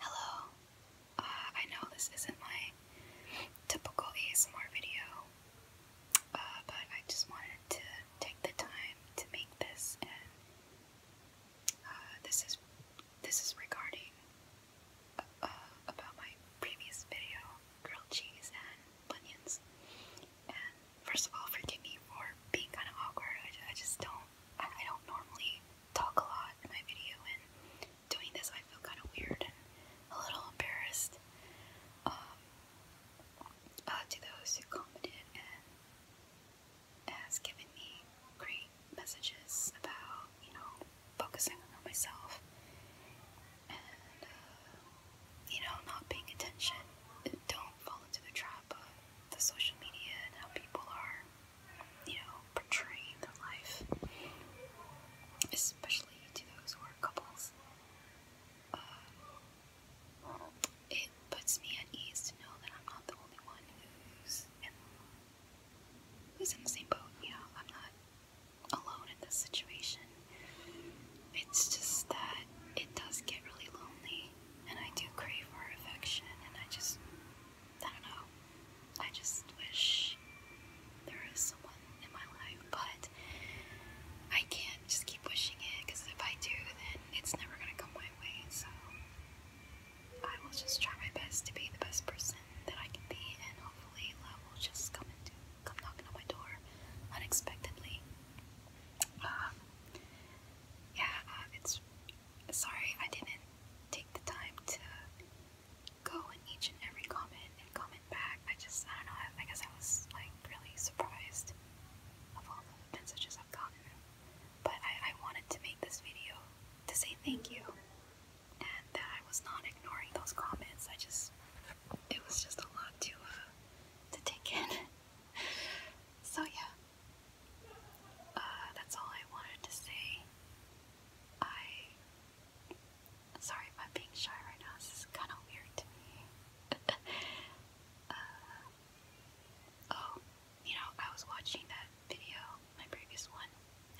Hello. Uh, I know this isn't my typical ASMR video, uh, but I just wanted to take the time to make this, and uh, this is this is regarding about my previous video, grilled cheese and bunions, and first of all, forgive me for being kind of awkward. I, I just don't, I, don't normally talk a lot in my video, and doing this, I feel kind of weird and a little embarrassed. Um, uh, to those who commented and has given me great messages about, you know, focusing on myself uh, you know, not paying attention. Don't fall into the trap of the social media and how people are, you know, portraying their life, especially to those who are couples. Um, it puts me at ease to know that I'm not the only one who's in, who's in the same boat. You know, I'm not alone in this situation. It's just that it does get really lonely, and I do crave for affection, and I just, I don't know, I just wish there is someone in my life, but I can't just keep wishing it, because if I do, then it's never gonna come my way, so I will just try my best to be the best person that I can be, and hopefully love will just come into come knocking on my door unexpectedly. Um, yeah, uh, it's sorry I didn't take the time to go in each and every comment and comment back. I just, I don't know, I, I guess I was like really surprised of all the messages I've gotten. But I, I wanted to make this video to say thank you and that I was not ignoring those comments. I just, it was just a lot to uh, to take in. so yeah, uh, that's all I wanted to say. I, sorry about being shy right now. This is kind of weird to me. Uh, oh, you know, I was watching that video my previous one,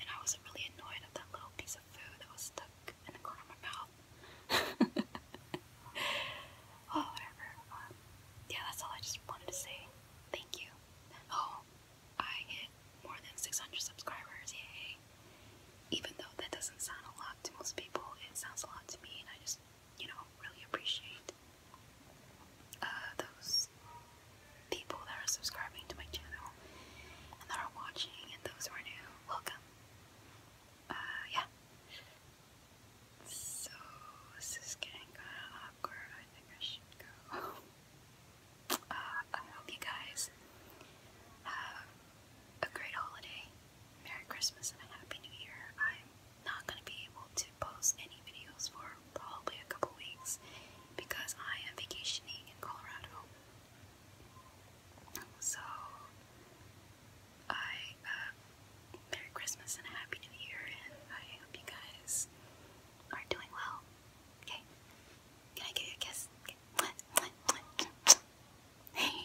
and I was really annoyed at that little piece of food that was stuck in the corner of my mouth. oh, whatever. Um, yeah, that's all I just wanted to say. Thank you. Oh, I hit more than 600 subscribers, yay! Even though that doesn't sound a lot to most people, it sounds a lot to me, and I just, you know, really appreciate uh, those people that are subscribing to my channel and that are watching, and those who are new, welcome. Uh, yeah. So, this is getting kind of awkward. I think I should go. Uh, I hope you guys have a great holiday, Merry Christmas, and a Happy New Year. i not going to be able to post any videos for probably a couple weeks because I am vacationing in Colorado. So, I, uh, Merry Christmas and a Happy New Year, and I hope you guys are doing well. Okay? Can I give you a kiss?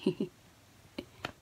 Okay.